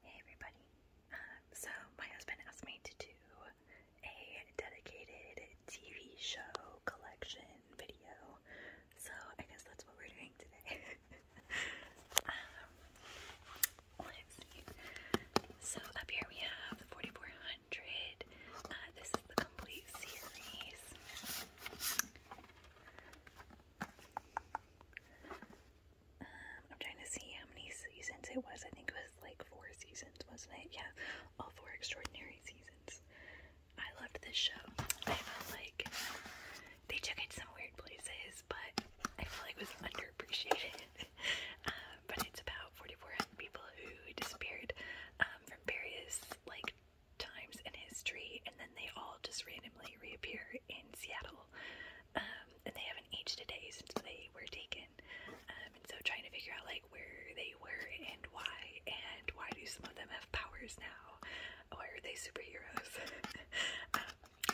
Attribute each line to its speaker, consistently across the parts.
Speaker 1: Hey everybody. Um, so my husband asked me to do a dedicated TV show collection video. So I guess that's what we're doing today. Um, so up here we have the 4400. Uh, this is the complete series um, I'm trying to see how many seasons it was. I think it was like four seasons, wasn't it? Yeah, all four extraordinary seasons. I loved this show. I felt like they took it some weird places, but I feel like it was underappreciated. um, but it's about 4,400 people who disappeared um, from various like times in history, and then they all just randomly reappear in Seattle and um, they haven't aged a day since they were taken. Um, and so trying to figure out like where they were and why, and why do some of them have powers now? Why are they superheroes? Um,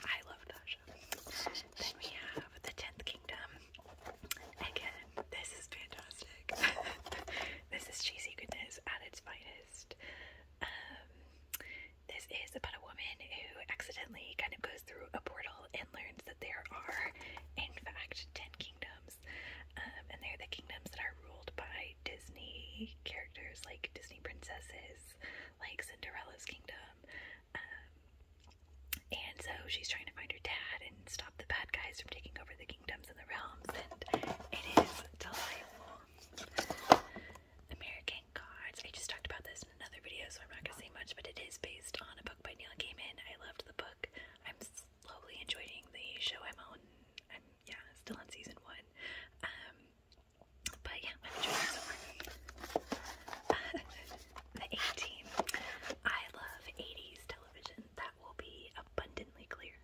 Speaker 1: I love that Then we have The Tenth Kingdom. Again, this is fantastic. this is cheesy goodness at its finest. This is about a woman who accidentally kind of goes through a portal and learns that there are, in fact, ten kingdoms. Um, and they're the kingdoms that are ruled by Disney characters, like Disney princesses, like Cinderella's kingdom. Um, and so she's trying to find her dad and stop the bad guys from taking over the kingdoms and the realms, and it is delightful. American playing I just talked about this in another video, so I'm not gonna say much, but it is based on a book by Neil Gaiman. I loved the book. I'm slowly enjoying the show I'm on. I'm yeah, still on season one. Um, but yeah, I'm enjoying it the 18. I love 80s television. That will be abundantly clear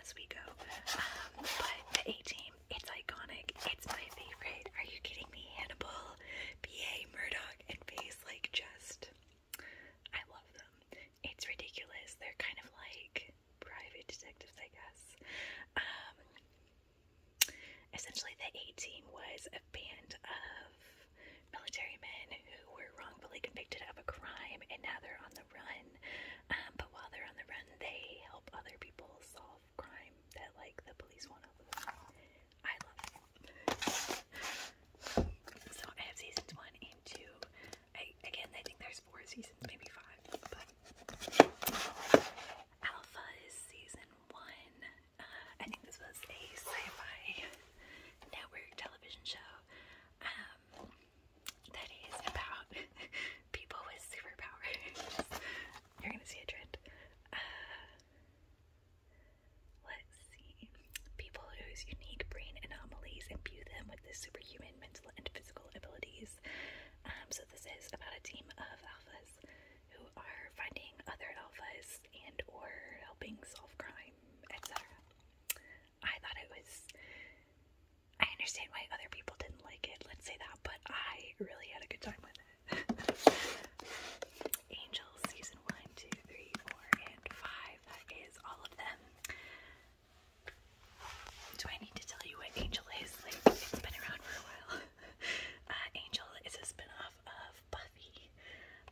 Speaker 1: as we go. Um, but the 18 it's iconic. It's my favorite. Are you kidding me? Hannibal, B.A. Murdoch, and Face like just. I love them. It's ridiculous. They're kind of like private detectives, I guess. Um, essentially, the A team was a band of military men who were wrongfully convicted of a crime and now they're on the run. Um, but while they're on the run, they help other people solve solve So I have seasons one and two. again I think there's four seasons, maybe five, Alpha is season one. Uh, I think this was a sci-fi network television show. Um, that is about people with superpowers. You're gonna see a trend. Uh, Let's see. People whose unique brain anomalies imbue them with the superhuman mental and physical abilities. Um, so this is about a team of alphas who are finding other alphas and or helping solve crime, etc. I thought it was I understand why other people didn't like it, let's say that, but I really had a good time with it. Angels season one, two, three, four, and five. That is all of them. Do I need to tell you what Angel is? Like, it's been around for a while. Uh, Angel is a spinoff of Buffy.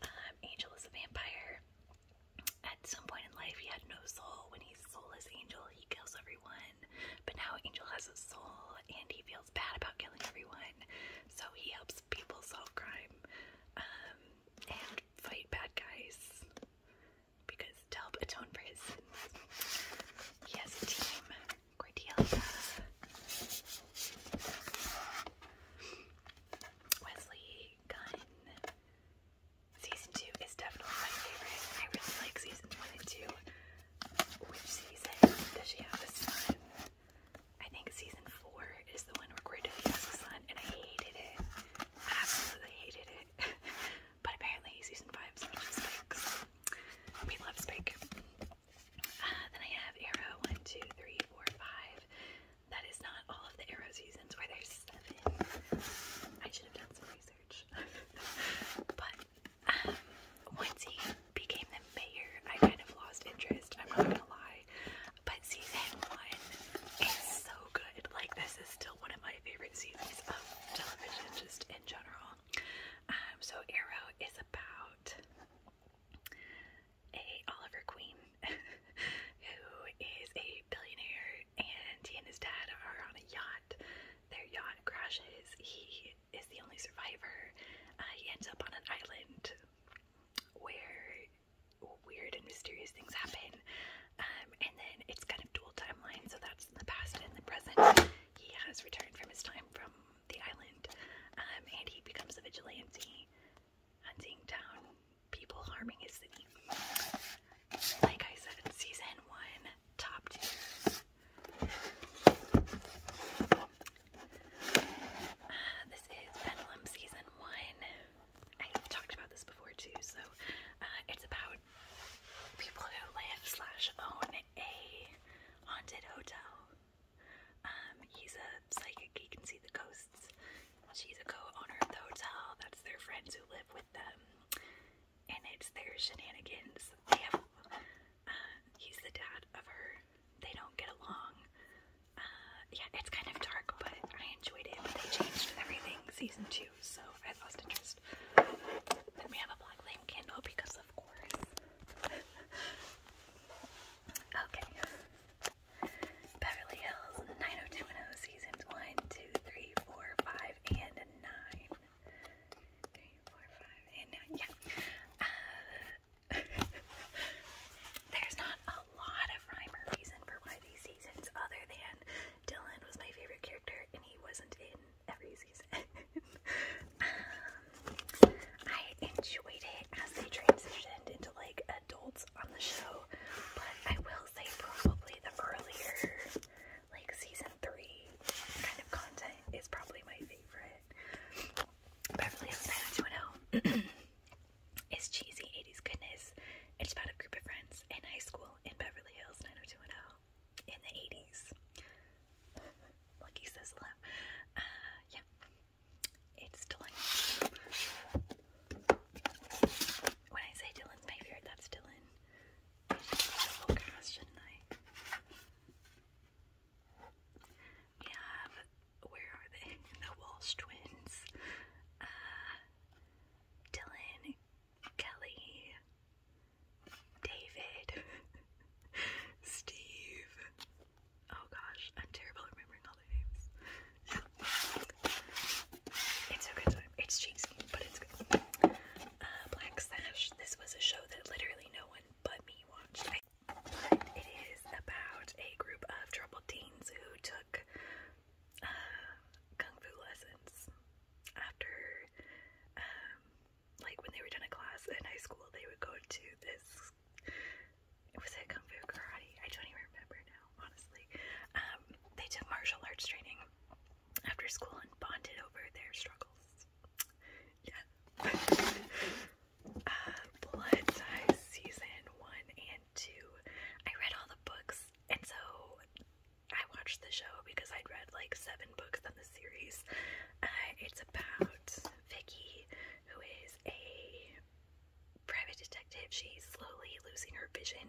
Speaker 1: Um, Angel is a vampire. At some point in life, he had no soul. When he's soulless Angel, he kills everyone. But now Angel has a soul, and he feels bad about killing everyone, so he helps people solve crime um, and fight bad guys because to help atone for his sins. He has a team, Wesley, Gunn. Season 2 is definitely my favorite. I really like seasons 1 and 2. Which season does she have a son? I think season four is the one where Corey did the Sun, and I hated it. I absolutely hated it. but apparently season five is much Spike. We love Spike. Uh, then I have Arrow one, two, three, four, five. That is not all of the Arrow seasons, where there's seven. I should have done some research. but um, once he became the mayor, I kind of lost interest. I'm not gonna lie, but season one is so good. Like this is still one of my favorite seasons of television, just in general. Um, so Arrow is about a Oliver Queen who is a billionaire, and he and his dad are on a yacht. Their yacht crashes. He is the only survivor. Uh, he ends up on an island where weird and mysterious things happen. Um, and then it's kind of dual timeline, so that's the past and the present. He has returned from his time from the island, um, and he becomes a vigilante, hunting down people harming his city. Like I said, season one, top this is Venom Season 1. I've talked about this before too, so uh, it's about people who live slash own a haunted hotel. Um, he's a psychic, he can see the ghosts. She's a co-owner of the hotel, that's their friends who live with them. And it's their shenanigans he's the dad of her. They don't get along. Uh, yeah, it's kind of dark, but I enjoyed it. But they changed everything season two, so I lost interest. Then we have a black lamp candle because, of course. okay. Beverly Hills 90210 seasons 1, 2, 3, and 9. 3, and 9. Yeah. Uh, There's not a lot of rhyme or reason for why these seasons, other than Dylan was my favorite character and he wasn't in every season. Um, I enjoyed it as they transitioned into like adults on the show, but I will say probably the earlier, like season three kind of content is probably my favorite. Beverly Hills 90210 is cheesy 80s goodness. It's about a group of friends in high school in Beverly Hills 90210 in the 80s. Lucky says love. Uh, yeah. It's Dylan. When I say Dylan's my favorite, that's Dylan. I should I? We have, where are they? The Walsh twins. Uh, Dylan, Kelly, David, Steve. Oh gosh, I'm terrible at remembering all the names. It's a good time. It's cheesy, but it's good. Uh, Black Sash. This was a show that literally no one but me watched. It is about a group of troubled teens who took uh, kung fu lessons after, um, like when they were done a class in high school, they would go to this. Was it kung fu karate? I don't even remember now, honestly. Um, they took martial arts training after school and bonded over their struggles. Yeah. uh, Blood Ties Season 1 and 2. I read all the books, and so I watched the show because I'd read like seven books on the series. Uh, it's about Vicky, who is a private detective. She's slowly losing her vision.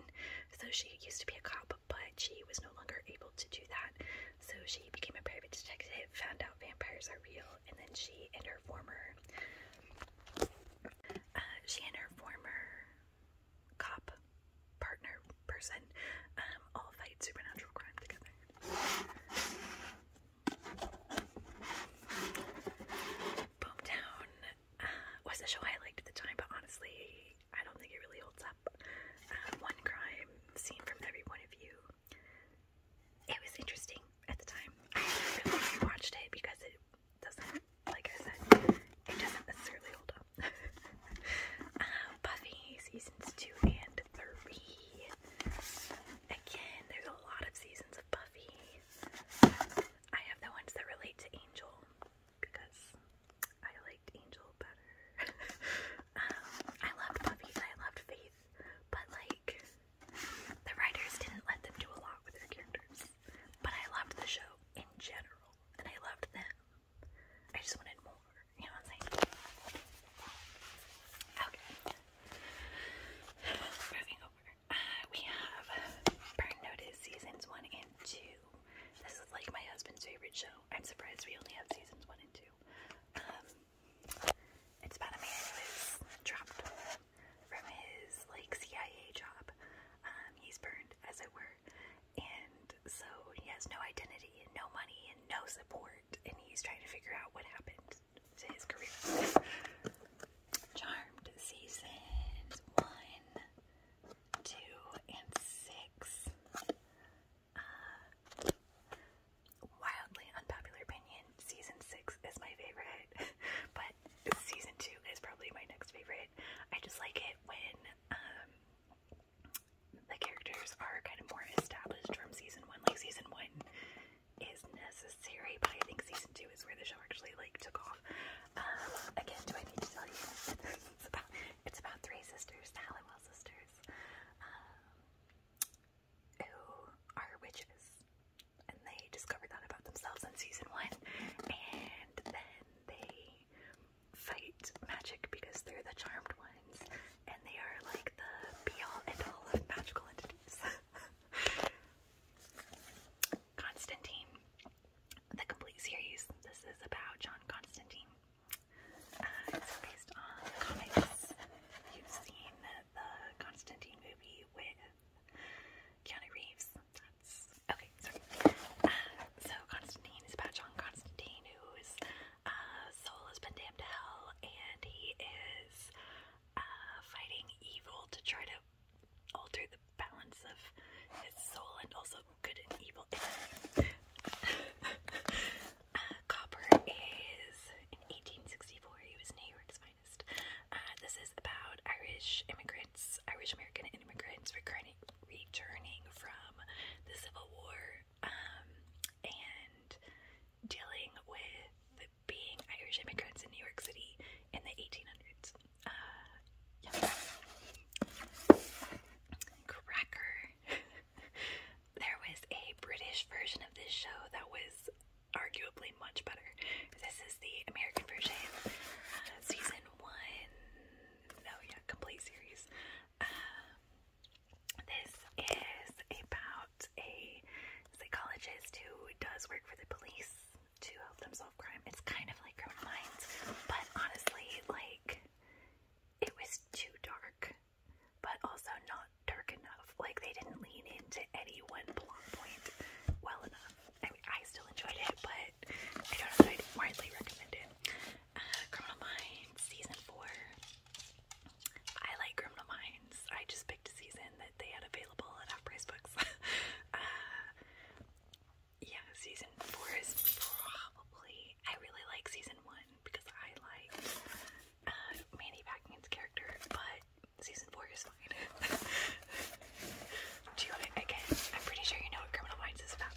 Speaker 1: So she used to be a cop, but she was no longer able to do that. So she became a private detective, found out vampires are real, and then she and her former uh, she and her former cop partner person um, all fight supernatural crime together. Boomtown uh, was a show I liked at the time, but honestly, I don't think it really holds up. Uh, one crime seen from every point of view it was interesting at the time. I haven't watched it because it doesn't, like I said, it doesn't necessarily hold up. Uh, Buffy seasons two and three. Again, there's a lot of seasons of Buffy. I have the ones that relate to Angel because I liked Angel better. Um, I loved Buffy I loved Faith, but like the writers didn't let them do a lot with their characters, but I loved the show in general, and I loved them. I just wanted more, you know what I'm saying? Okay. Moving over. Uh, we have Burn Notice Seasons 1 and 2. This is like my husband's favorite show. I'm surprised we only have Seasons 1 and 2. Um, it's about a man who is dropped from his like CIA job. Um, he's burned, as it were, and so he has no identity and no money and no support, and he's trying to figure out what happened to his career. Charmed seasons one, two, and six. Uh, wildly unpopular opinion, season six is my favorite, but season two is probably my next favorite. I just like it when um, the characters are kind of more established from season one. Like season one is necessary, but I think season two is where the show actually like took off. Um, again, do I need to tell you? it's about it's about three sisters, the Halliwell sisters. Um, who are witches, and they discover that about themselves in season one, and then they fight magic because they're the charmed ones, and they are like the be all and all of magical entities. Constantine, the complete series. This is about John Constantine. Uh, it's based on comics. You've seen the Constantine movie with Keanu Reeves. That's okay. Sorry. Uh, so Constantine is about John Constantine, whose uh, soul has been damned to hell, and he is uh, fighting evil to try to alter the balance of his soul and also good and evil. uh, Copper is in 1864. He was New York's uh, this is about Irish immigrants, Irish American immigrants returning, returning from the Civil War um, and dealing with being Irish immigrants in New York City in the 1800s. Uh, Cracker. there was a British version of this show that was arguably much better. This is the American version, uh, season one. No, yeah, complete series. Um, this is about a psychologist who does work for the police to help them solve crime. It's kind of like Criminal Minds, but honestly, like it was too dark, but also not dark enough. Like they didn't lean into any one plot point well enough. I mean, I still enjoyed it, but I don't know that I'd widely recommend it. Uh, Criminal Minds season four. I like Criminal Minds. I just picked a season that they had available at our Price Books. Uh, yeah, season four is probably. I really like season one because I like uh, Mandy Packington's character, but season four is fine. Do you want it again? I'm pretty sure you know what Criminal Minds is about.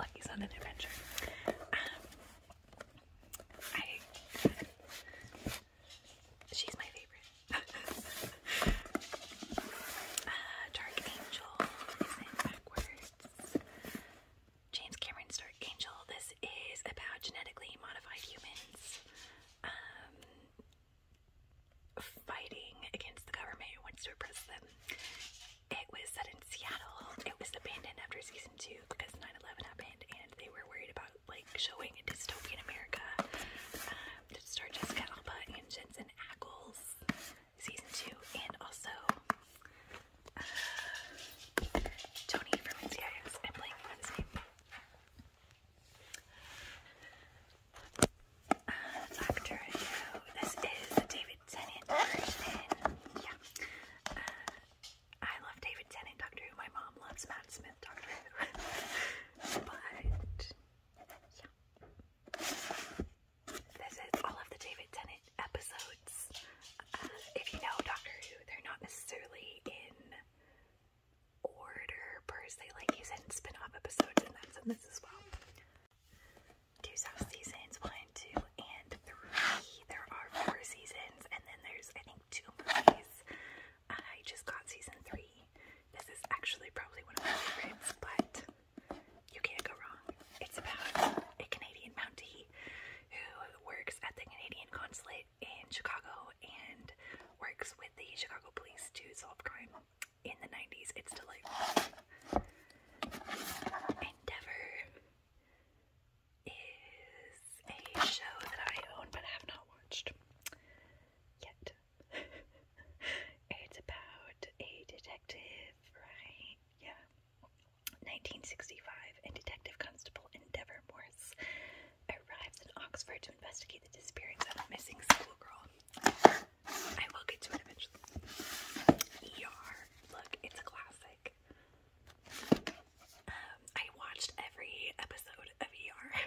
Speaker 1: Lucky's on an adventure. Um, I. She's my favorite. Uh, Dark Angel isn't backwards. James Cameron's Dark Angel. This is about genetically modified humans um, fighting against the government who wants to oppress them. It was set in Seattle. It was abandoned after season two because 9 11 happened and they were worried about like showing a dystopian America. Um, to start Jessica Alba and Jensen season two, and also uh, Tony from NCIS. I'm uh, Doctor Who. This is the David Tennant version. Yeah. Uh, I love David Tennant, Doctor Who. My mom loves Matt Smith, Doctor Who. but, yeah. This is all of the David Tennant episodes. Uh, if you know Doctor Who, they're not necessarily in order per se. Like he's in spin-off episodes and that's in this as well. Two seasons, one, two, and three. There are four seasons, and then there's I think two movies. I just got season three. This is actually probably one of my favorites, but you can't go wrong. It's about a Canadian bounty who works at the Canadian consulate in Chicago and works with the Chicago police to solve crime in the 90s. It's delightful. Endeavor is a show that I own but have not watched yet. it's about a detective, right? Yeah. 1965, and Detective Constable Endeavor Morse arrives in Oxford to investigate the disappearance of a missing schoolgirl. I will get to it eventually. ER. Look, it's a classic. Um, I watched every episode of ER.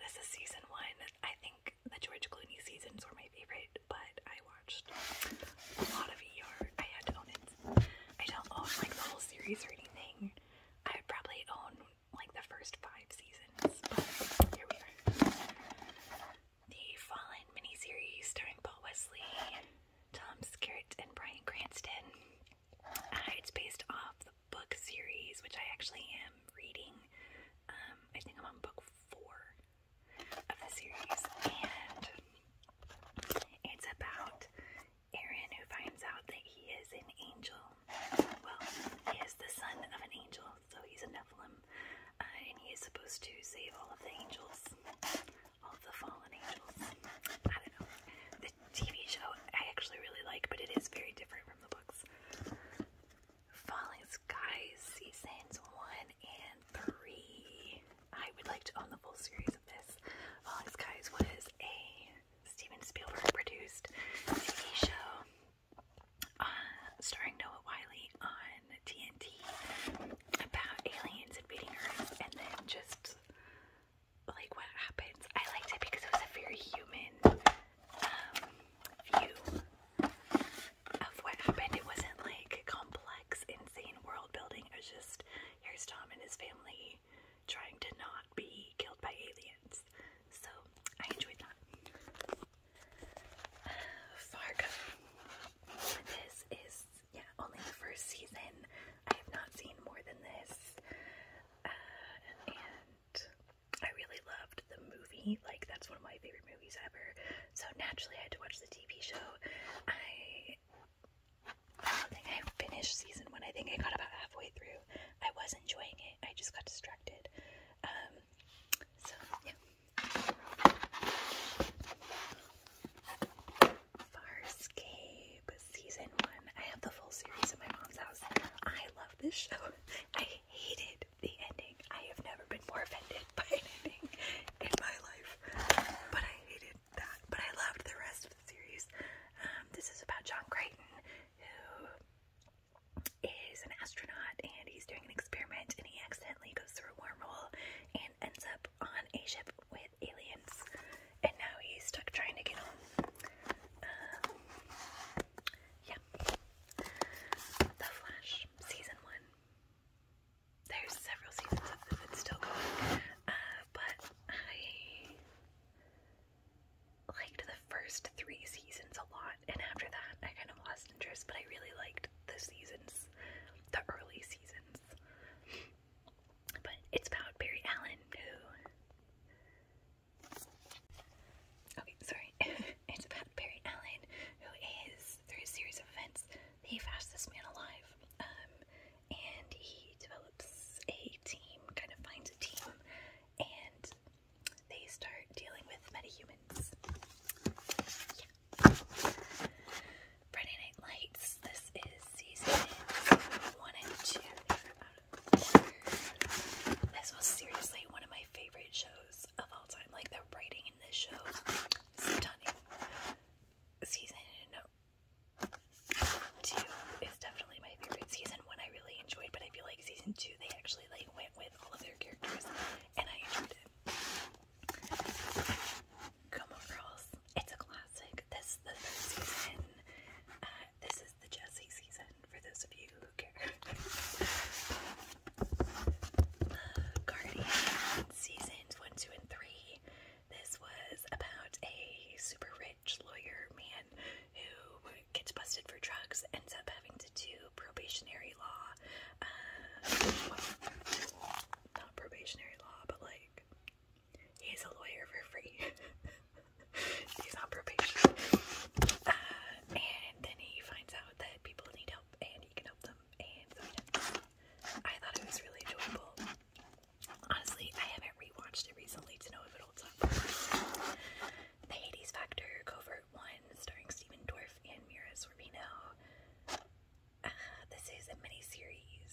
Speaker 1: this is season one. I think the George Clooney seasons were my favorite, but I watched a lot of ER. I had to own it. I don't own like the whole series or anything. I would probably own like the first five seasons, but here we are. The Fallen miniseries starring Paul Wesley, Tom Skerritt, and Brian Cranston. Uh, it's based off the book series, which I actually am reading. Um, I think I'm on book four of the series, and it's about Aaron, who finds out that he is an angel, well, he is the son of an angel, so he's a Nephilim, uh, and he is supposed to save all of the angels, all the fallen angels. I don't know. The TV show I actually really like, but it is very different from the books. Falling Skies seasons one and three. I would like to own the full series of this. Falling Skies was a Steven Spielberg produced TV show uh, starring Noah Wiley on TNT about aliens invading Earth and then just like what happens. I liked it because it was a very human um, view of what happened. It wasn't like complex, insane world building. It was just here's Tom and his family trying to not be killed by aliens. So I enjoyed that. Fargo. This is yeah only the first season. I have not seen more than this, uh, and I really loved the movie. Like that's one of my favorite movies ever. So naturally, I had to watch the TV show. I I don't think I finished season one. I think I got about halfway through. I was enjoying it. I just got distracted. Um, so yeah. Farscape season one. I have the full series in my mom's house. I love this show. I hated the ending. I have never been more offended by an ending in my life. But I hated that. But I loved the rest of the series. Um, this is about John Crichton who is an astronaut and he's doing an experiment and he accidentally goes through a wormhole and ends up on a ship with aliens and now he's stuck trying to get home. Um, yeah. The Flash, season one. There's several seasons of this, it's still going. Uh, but I liked the first three seasons a lot, and after that, I kind of lost interest, but I really liked the seasons, the early seasons. But it's about Barry Allen, who. Okay, sorry. it's about Barry Allen, who is, through a series of events, the fastest man alive. Um, and he develops a team, kind of finds a team and they start dealing with metahumans. Yeah. Friday Night Lights. This is season one and two. This was seriously one of my favorite shows of all time. Like the writing in this show, stunning. Season two is definitely my favorite. Season one I really enjoyed, but I feel like season two they actually like went with all of their characters, and I enjoyed it. Come Girls, it's a classic. This is the first season. Uh, this is the Jessie season for those of you who care. the seasons one, two, and three. This was about a super rich lawyer man who gets busted for drugs, ends up having to do probationary law. Uh, not probationary law, but like he's a lawyer for free. he's not probationary. Uh, and then he finds out that people need help and he can help them. And sometimes I thought it was really enjoyable. Honestly, I haven't rewatched it recently to know if it'll the Hades Factor, Covert One, starring Stephen Dorff and Mira Sorvino. Uh, this is a miniseries.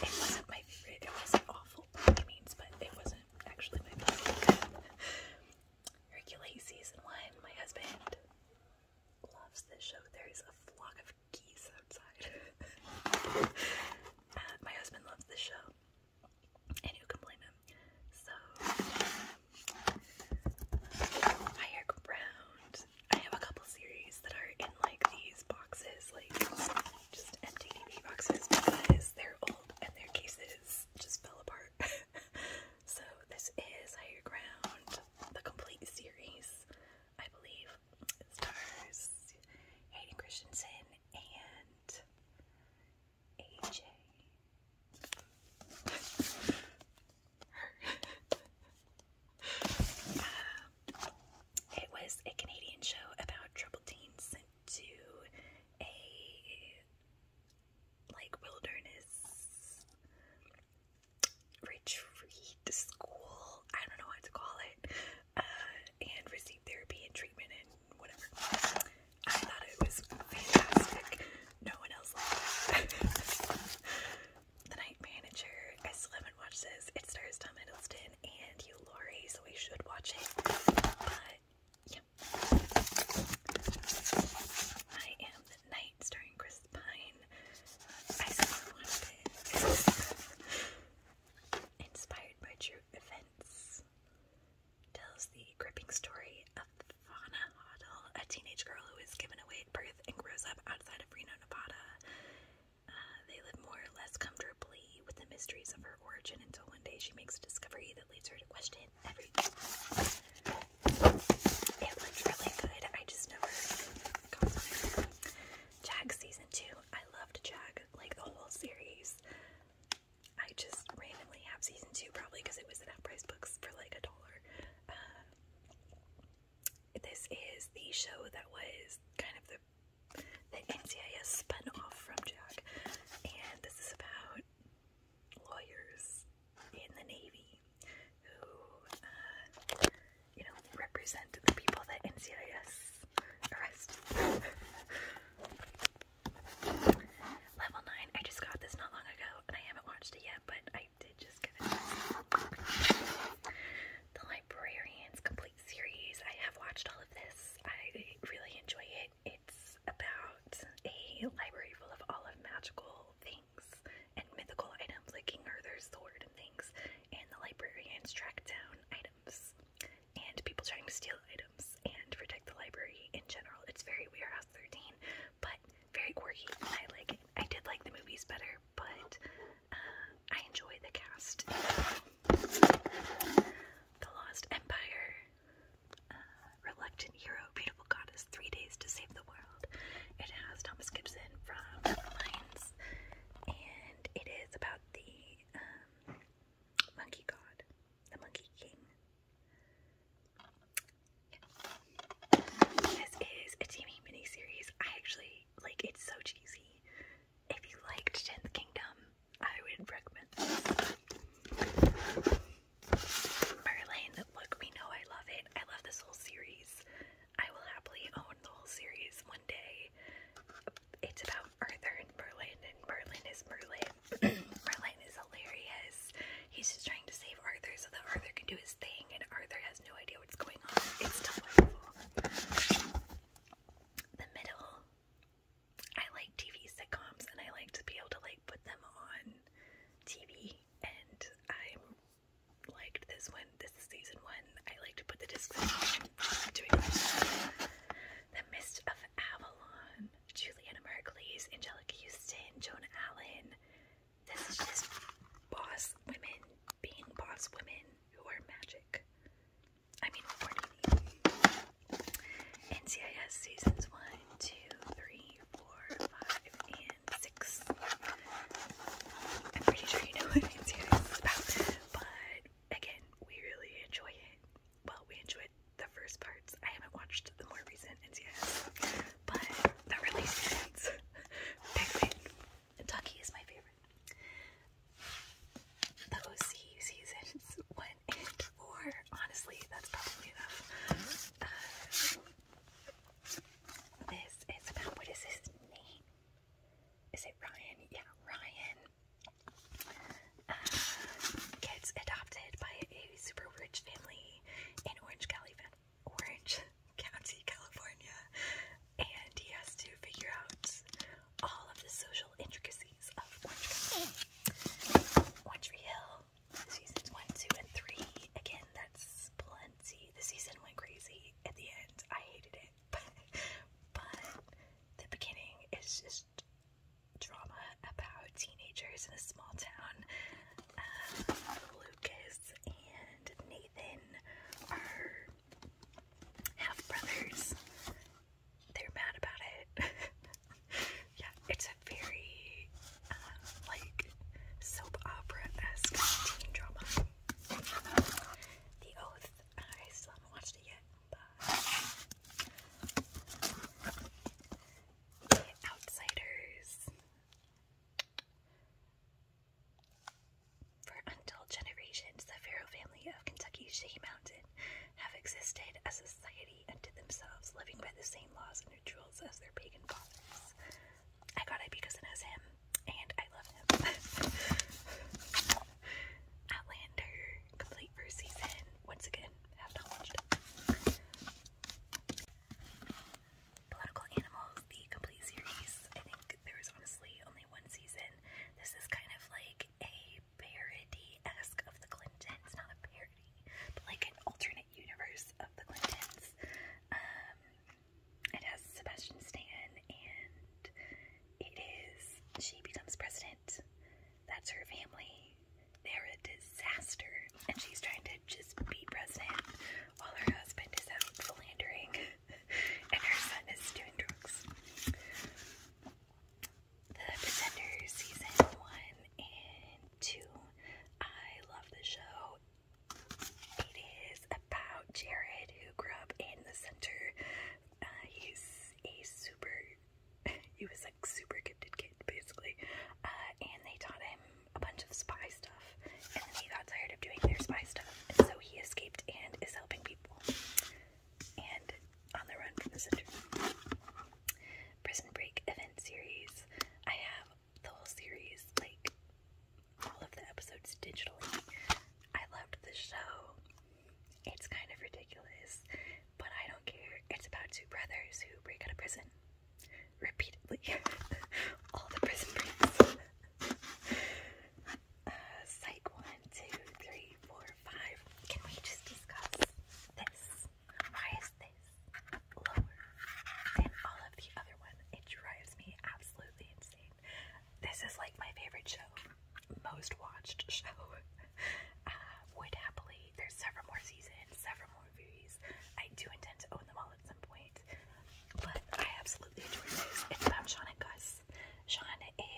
Speaker 1: It wasn't my favorite. It wasn't awful by any means, but it wasn't actually my favorite. Hercules Season 1. My husband loves this show. There is a flock of geese outside. Uh, my husband loves this show and who ground. I have a couple series that are in like these boxes, like just empty DVD boxes because they're old and their cases just fell apart. so, this is Higher Ground, the complete series, I believe. stars Hayden Christensen and AJ. it was a Canadian show about trouble teens sent to a like wilderness retreat school. I don't know what to call it. Uh, and receive therapy and treatment whatever. I thought it was fantastic. No one else liked it. the Night Manager. I still haven't watched this. It stars Tom Hiddleston and you, Laurie, so we should watch it. But yeah. I am the Night starring Chris Pine. I still watched it. Inspired by true events tells the gripping story of Fauna Hoddle, a teenage girl who is given away at birth and grows up outside of Reno, Nevada. Uh, they live more or less comfortably with the mysteries of her origin until one day she makes a discovery that leads her to question everything. It looked really good. I just never Jag season two. I loved Jag like the whole series. I just randomly have season two probably because it was in half-price books for like a dollar. Uh, this is the show that was kind of the the NCIS spun off from Jack, and this is about lawyers in the Navy who, uh, you know, represent the people that NCIS arrests. Level 9. I just got this not long ago and I haven't watched it yet, but I did just get it. The Librarians Complete Series. I have watched all of this. I really enjoy it. It's about a library full of all of magical things and mythical items like King Arthur's sword and things, and the librarians track down items and people trying to steal items and protect the library in general. It's very weird Warehouse 13, but very quirky. I like I did like the movies better, but uh, I enjoy the cast. The Lost Empire, uh, Reluctant Hero, Beautiful Goddess, Three Days to Save the World. It has Thomas Gibson from Lines, and it is about the um, Monkey God, the Monkey King. This is a TV series. I actually like it's so cheesy. If you liked Tenth Kingdom, I would recommend Merlin, look, we know I love it. I love this whole series. I will happily own the whole series one day. It's about Arthur and Merlin, and Merlin is Merlin. Merlin is hilarious. He's just trying to save Arthur so that Arthur can do his thing, and Arthur has no idea what's going on. It's delightful. The middle. I like TV sitcoms, and I like to be able to like put them on TV. And I liked this one. This season one. I like to put the discs The Mist of Avalon, Juliana Merkley's, Angelica Houston, Joan Allen. This is just boss women being boss women who are magic. I mean, what more do you need? NCIS seasons 1, 2, 3, 4, 5, and 6. I'm pretty sure you know what NCIS is about, but again, we really enjoy it well, we enjoyed the first parts. I haven't watched the more recent ends yet, but the release dates. Penguin. Ducky is my favorite. The OC seasons one and four. Honestly, that's probably enough. Uh, this is about what is his name? Is it Ryan? Yeah, Ryan gets adopted by a super rich family in Orange, County, California, and he has to figure out all of the social intricacies of Orange County. Orange Tree Hill, seasons one, two, and three. Again, that's plenty. The season went crazy at the end. I hated it, but the beginning is just drama about teenagers in a small town. Uh, Lucas and Nathan are half brothers. They're mad about it. yeah, it's a very uh, like soap opera esque teen drama. The Oath. I still haven't watched it yet. The Outsiders. For until generations, the Pharaoh family of Kentucky's Shaky Mountain have existed as a society unto themselves, living by the same laws and rituals as their pagan fathers. I got it because it has him, and I love him. Outlander, complete first season. Once again, Political Animals, the complete series. I think there was honestly only one season. This is kind of like a parody-esque of the Clintons. Not a parody, but like an alternate universe of the Clintons. Um, it has Sebastian Stan and it is she becomes president. That's her family they're a disaster. And she's trying to just be president while her husband is out philandering and her son is doing drugs. The Pretender season one and two. I love the show. It is about Jared who grew up in the center. Uh, he's a super he was like super gifted kid basically, uh, and they taught him a bunch of spy stuff, and then he got tired of doing their spy stuff, and so he escaped and is helping people, and on the run from the center. Prison Break event series. I have the whole series, like all of the episodes digitally. I loved the show. It's kind of ridiculous. But I don't care. It's about two brothers who break out of prison repeatedly. All the prison breaks. uh, psych one, two, three, four, five. Can we just discuss this? Why is this lower than all of the other one? It drives me absolutely insane. This is like my favorite show, most watched show. Uh, would happily, there's several more seasons, several more movies. I do intend to own them all at some point, but I absolutely adore this. It's about Sean and Gus. Sean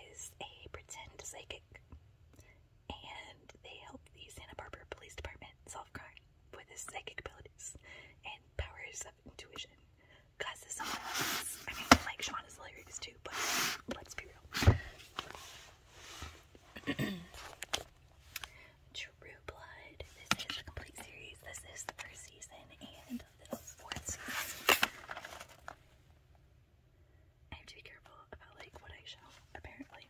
Speaker 1: is a pretend psychic, and they help the Santa Barbara Police Department solve crime with his psychic abilities and powers of intuition. Gus is someone else. I mean, like, Sean is hilarious too, but let's be real. True Blood. This is the complete series. This is the first season and the fourth I have to be careful about like what I show, apparently.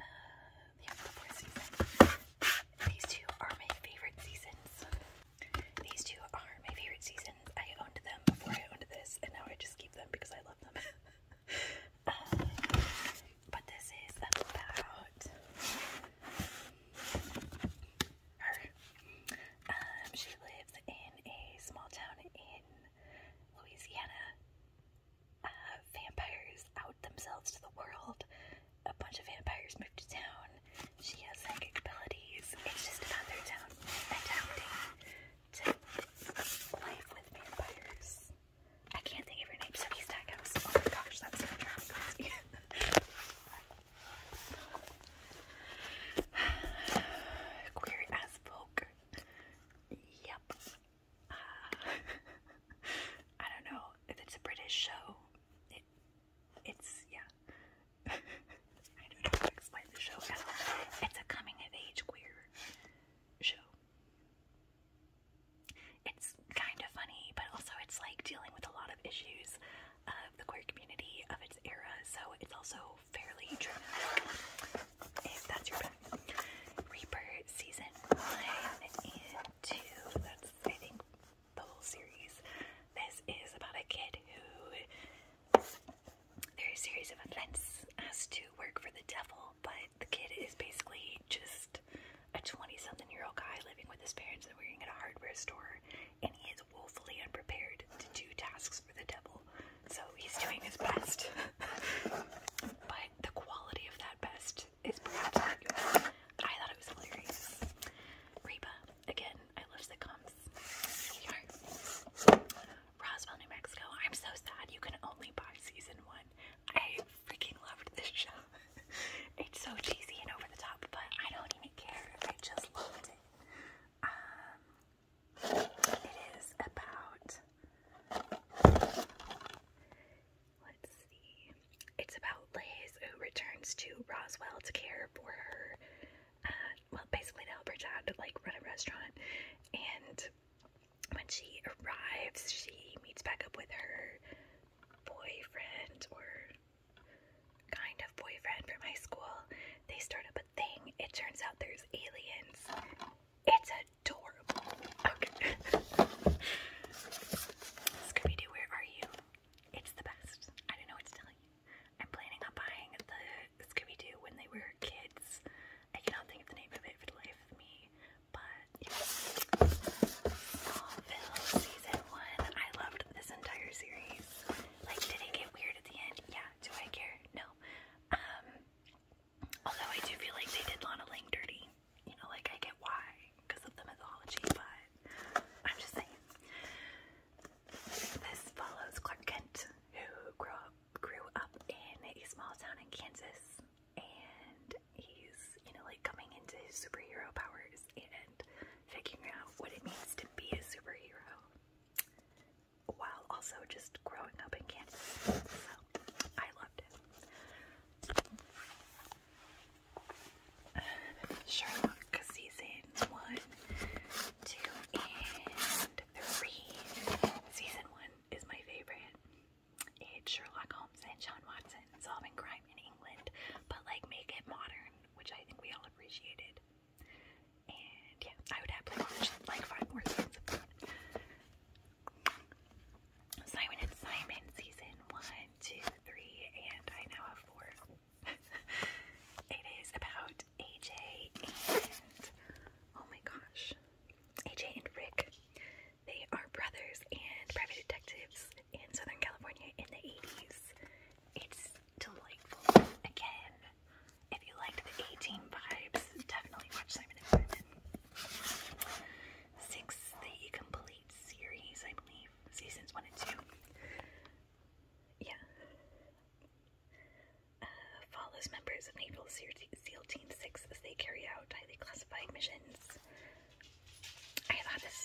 Speaker 1: Uh, the fourth season. These two are my favorite seasons. These two are my favorite seasons. I owned them before I owned this, and now I just keep them because I love them. but this is about her. Um, she lives in a small town in Louisiana. Uh, vampires out themselves to the world. A bunch of vampires move to town. She has psychic abilities. It's just about their town adapting to life with vampires. I can't think of your name, so he's Stackhouse. Oh my gosh, that's so driving crazy. Queer as folk. Yep. I don't know it's a British show. it's yeah. I don't know to explain the show It's a coming of age queer show. It's kind of funny, but also it's like dealing with a lot of issues of the queer community of its era, so it's also fairly dramatic if that's your bag. Reaper season one and two, that's I think the whole series. This is about a kid who there's a series of events has to work for the devil, but the kid is basically just a 20 something year old guy living with his parents and working at a hardware store, and he is woefully unprepared to do tasks for the devil. So he's doing his best. but the quality of that best is perhaps I thought it was hilarious. Reba, again, I love sitcoms. Roswell, New Mexico. I'm so sad you can only buy season one freaking loved this show. it's so cheesy and over the top, but I don't even care. I just loved it. Um, it is about. Let's see. It's about Liz who returns to Roswell to care for her. Uh, well, basically to help her dad to like run a restaurant, and when she arrives, she meets back up with her boyfriend or kind of boyfriend from high school. They start up a thing. It turns out there's aliens. It's adorable. Scooby Doo, where are you? It's the best. I don't know what to you. I'm planning on buying the Scooby Doo when they were kids. I cannot think of the name of it for the life me, but Smallville season one. I loved this entire series. Like, did it get weird at the end? Yeah. Do I care? No. Um, although I do feel like they did Lana Lang dirty. You know, like I get why because of the mythology, but I'm just saying. This follows Clark Kent, who grew up grew up in a small town in Kansas, and he's, you know, like coming into his superhero powers and figuring out what it means to be a superhero while also just growing up in Canada. So I loved it. Sherlock season one, two, and three. Season one is my favorite age Sherlock Holmes and John Watson solving crime in England, but like make it modern, which I think we all appreciated. And yeah, I would happily watch like five more seasons of that. Simon and Simon season one, two, three, and I now have four. it is about AJ and oh my gosh, AJ and Rick. They are brothers and private detectives in Southern California in the 80s. It's delightful. Again, if you liked the 18 vibes, definitely watch Simon and Simon. Six, the complete series, I believe, seasons one and two. Yeah. Uh, follows members of Naval SEAL Team 6 as they carry out highly classified missions I thought this.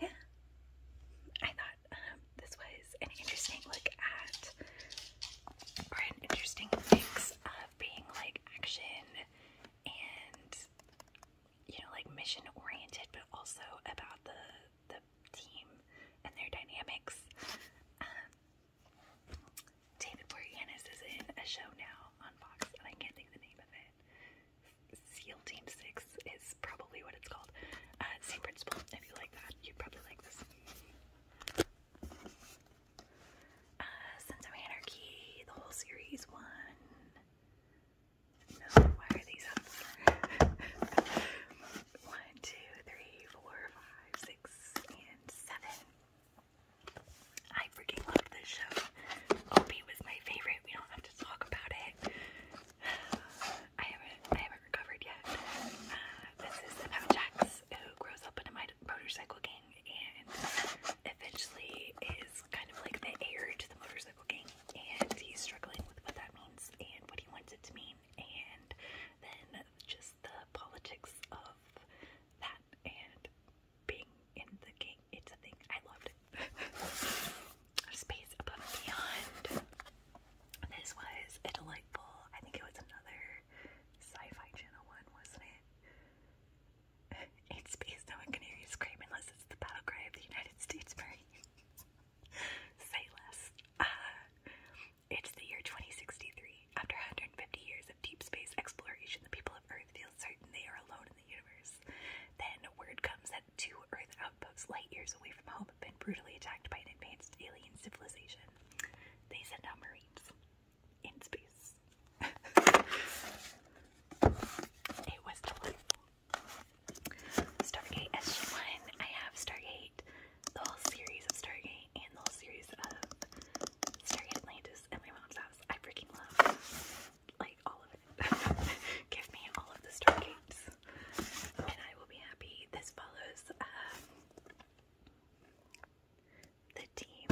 Speaker 1: yeah. I thought um, this was an interesting look at, or an interesting mix of being like action and, you know, like mission oriented, but also about the the team and their dynamics. Um, David Boreanaz is in a show now on Fox, and I can't think the name of it. SEAL Team 6 is probably what it's called. Uh, same principle. If you like that, you'd probably like this. Uh, Sons of Anarchy, the whole series one. No, why are these up? one, two, three, four, five, six, and seven. I freaking love this show. Opie was my favorite. We don't have to talk about it. I haven't, I haven't recovered yet. Uh, this is about Jax, who grows up in a motorcycle gang and eventually is kind of like the heir to the motorcycle gang, and he's struggling with what that means and what he wants it to mean, and then just the politics of that and being in the game. It's a thing. I loved Space Above and Beyond. This was delightful, I think it was another sci-fi channel one, wasn't it? In space, no one can hear you scream unless it's the battle cry of the United States Marines. Say it's the year 2063. After 150 years of deep space exploration, the people of Earth feel certain they are alone in the universe. Then word comes that two Earth outposts light years away from home have been brutally attacked by an advanced alien civilization. They send out Marines in space. it was delightful. Stargate SG1. I have Stargate the whole series of Stargate and the whole series of Stargate Atlantis at my mom's house. I freaking love like all of it. Give me all of the Stargates, and I will be happy. This follows um, the team.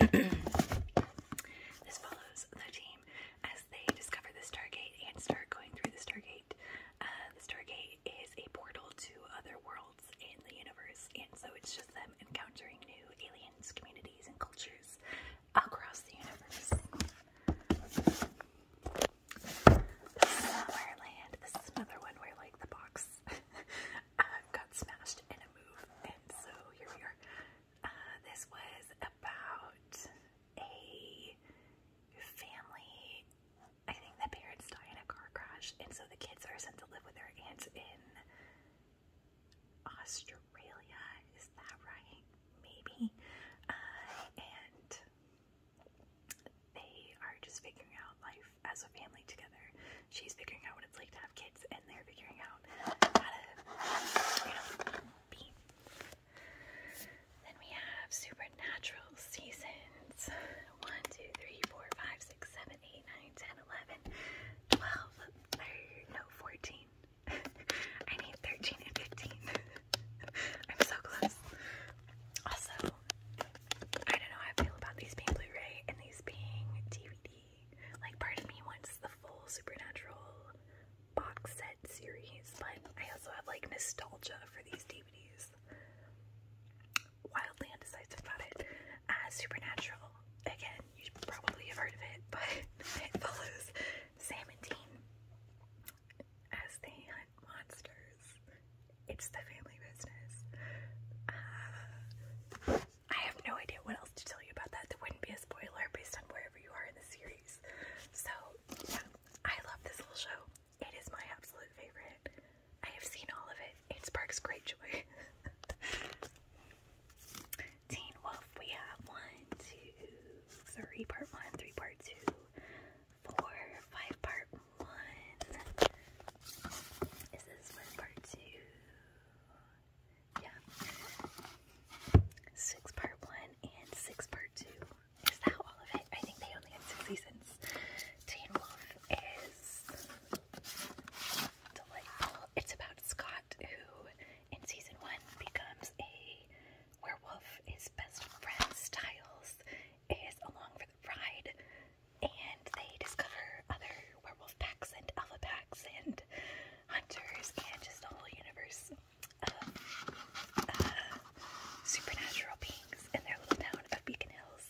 Speaker 1: this follows the team as they discover the Stargate and start going through the Stargate. Uh, the Stargate is a portal to other worlds in the universe, and so it's just them encountering new aliens, communities, and cultures across the universe. Summerland. This is another one where, like, the box uh, got smashed in a move, and so here we are. Uh, this was about a family I think the parents die in a car crash, and so the kids are sent to live with their aunts in Australia. Is that right? Maybe. Uh, and they are just figuring out life as a family together. She's figuring out what it's like to have kids, and they're figuring out how to, be. Then we have Supernatural Seasons, 1, 2, 3, 4, 5, 6, 7, 8, 9, 10, 11, 12, no, 14. I need 13 and 15. I'm so close. Also, I don't know how I feel about these being Blu-ray and these being DVD. Like, part of me wants the full Supernatural box set series, but I also have, like, nostalgia for these DVDs wildly undecisive about it. Uh, Supernatural, again, you probably have heard of it, but it follows Sam and Dean as they hunt monsters. It's the family business. Uh, I have no idea what else to tell you about that. There wouldn't be a spoiler based on wherever you are in the series. So, yeah, I love this little show. It is my absolute favorite. I have seen all of it. It sparks great joy. Teen Wolf, we have one, two, three part one, three part two, four, five part one. Is this part two? Yeah. Six part one and six part two. Is that all of it? I think they only have 66 since is delightful. It's about Scott, who in season one becomes a werewolf. His best friend, Styles, is along for the ride, and they discover other werewolf packs and alpha packs and hunters and just a whole universe of uh, supernatural beings in their little town of Beacon Hills.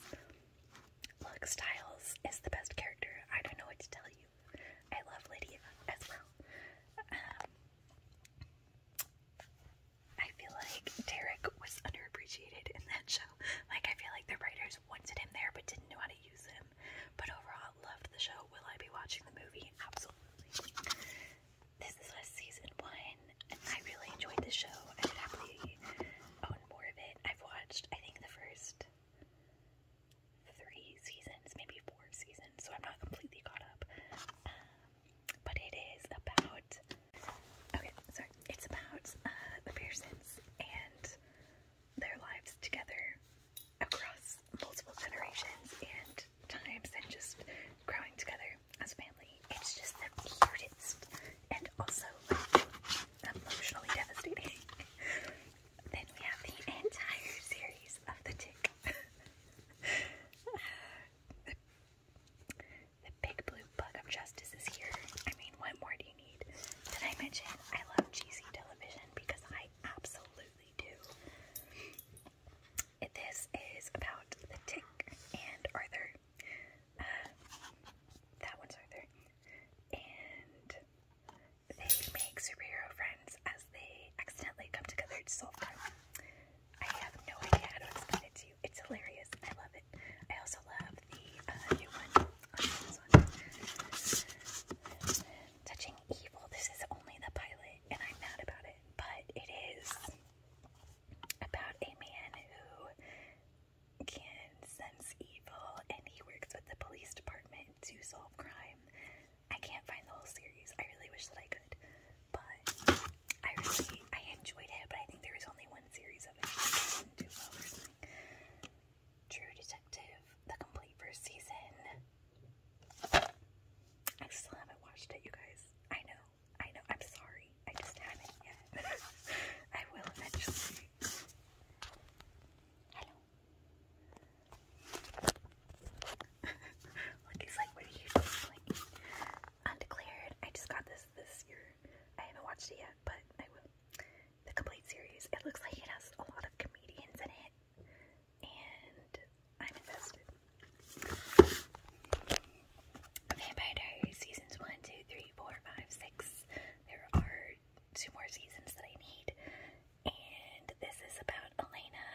Speaker 1: Look, Styles is the best character. I don't know what to tell you. I love Lydia as well. Um, I feel like Derek was underappreciated in that show. Like, I feel like the writers wanted him there but didn't know how to use him. But overall, loved the show. Will I be watching the movie? Absolutely. This is last season one, and I really enjoyed the show. I would happily gotten more of it. I've watched, I think, the first three seasons, maybe four seasons, so I'm not completely caught up. Um, but it is about. Okay, sorry. It's about uh, the Pearsons and their lives together across multiple generations and times and just growing together as a family. It's just the cutest and also emotionally devastating. then we have the entire series of the tick. the big blue bug of justice is here. I mean, what more do you need? Did I mention I love cheesy television because I absolutely do. This is about the tick and Arthur. that one's Arthur. And they make superhero friends as they accidentally come together to solve crime. I have no idea how to explain it to you. It's hilarious. I love it. I also love the uh, new one. Touching Evil. This is only the pilot, and I'm mad about it, but it is about a man who can sense evil and he works with the police department to solve crime. I can't find the whole series. I really wish that I could. But I really I enjoyed it, but I think there was only one series of it. Two or something. True Detective, the complete first season. I still haven't watched it, you guys. I know. I know. I'm sorry. I just haven't yet. I will eventually. Hello. Look, he's like, what are you doing? Undeclared. I just got this this year. I haven't watched it yet, but I will. The complete series. It looks like it has a lot of comedians in it, and I'm invested. Vampire Diaries seasons 1, there are two more seasons that I need, and this is about Elena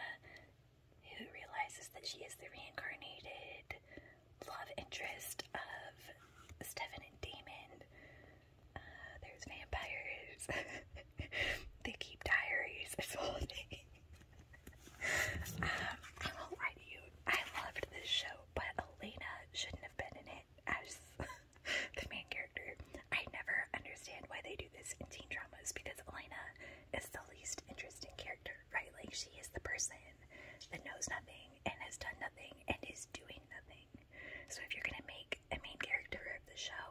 Speaker 1: who realizes that she is the reincarnated love interest of Stefan and Damon. Uh, there's vampires. they keep diaries. This whole um, I won't you. I loved this show, but Elena shouldn't have been in it as the main character. I never understand why they do this in teen dramas because Elena is the least interesting character, right? Like, she is the person that knows nothing and has done nothing and is doing nothing. So, if you're gonna make a main character of the show,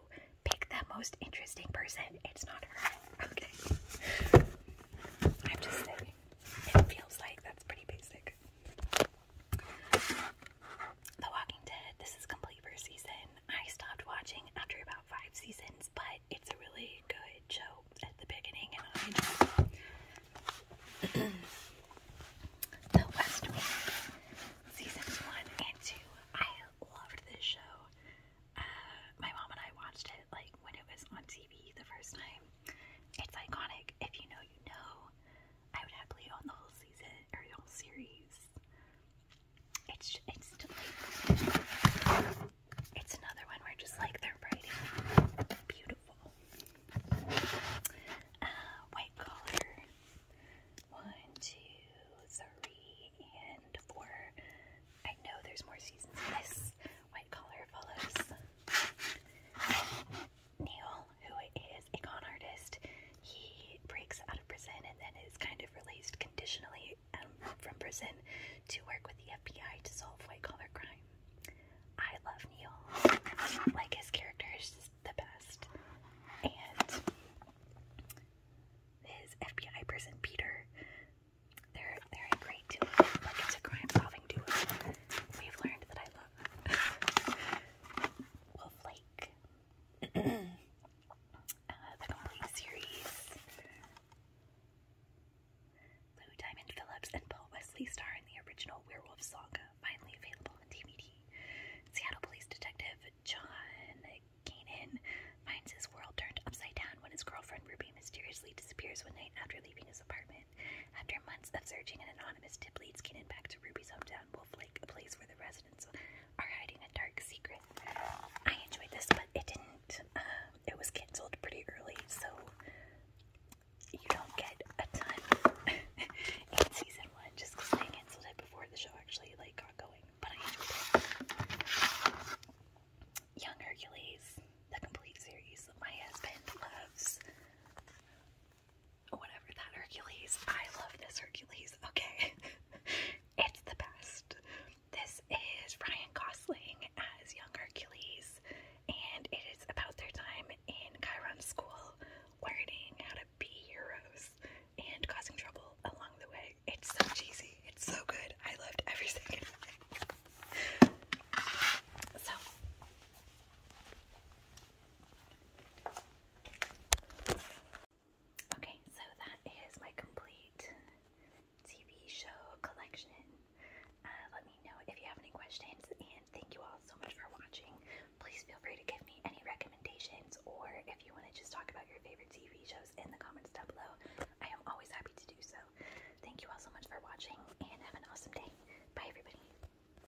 Speaker 1: pick the most interesting person. It's not her, okay? I'm just saying, it feels like that's pretty basic. The Walking Dead, this is complete first season. I stopped watching after about five seasons, but it's a really good show at the beginning and I enjoy The West Wing, seasons one and two. I loved this show. Uh, my mom and I watched it like when it was on TV the first time. It's iconic. If you know, you know. I would happily own the whole season or the whole series. It's it's it's another one where just like they're writing beautiful. Uh, white collar. One, two, three, and four. I know there's more seasons of this. White collar follows. Neil, who is a con artist, he breaks out of prison and then is kind of released conditionally um, from prison to work with the FBI to solve white collar crime. I love Neil. Like, his character is just the best. And his FBI person, Peter, they're, they're a great duo. Like, it's a crime solving duo. We've learned that I love will flake. uh, the complete series. Lou Diamond Phillips and Paul Wesley star in the original Werewolf Saga, finally available on DVD. Seattle police detective John Kanan finds his world turned upside down when his girlfriend Ruby mysteriously disappears one night after leaving his apartment. After months of searching, an anonymous tip leads Kanan back to Ruby's hometown, Wolf Lake, a place where the residents are hiding a dark secret. I enjoyed this, but it didn't. Uh, it was canceled pretty early, so you don't get a ton in season one just because they canceled it before the show actually like got going. But I enjoyed Young Hercules, the complete series that my husband loves whatever that Hercules. I love this Hercules. Okay. it's the best. This is Ryan Gosling as young Hercules, and it is about their time in Chiron School learning how to be heroes and causing trouble along the way. It's so cheesy. It's so good. I loved every second of it. So Okay, so that is my complete TV show collection. Uh, let me know if you have any questions, and thank you all so much for watching. Please feel free to give me any recommendations, or if you want to just talk about your favorite TV shows in the comments down below, I am always happy to do so. Thank you all so much for watching, and have an awesome day. Bye, everybody.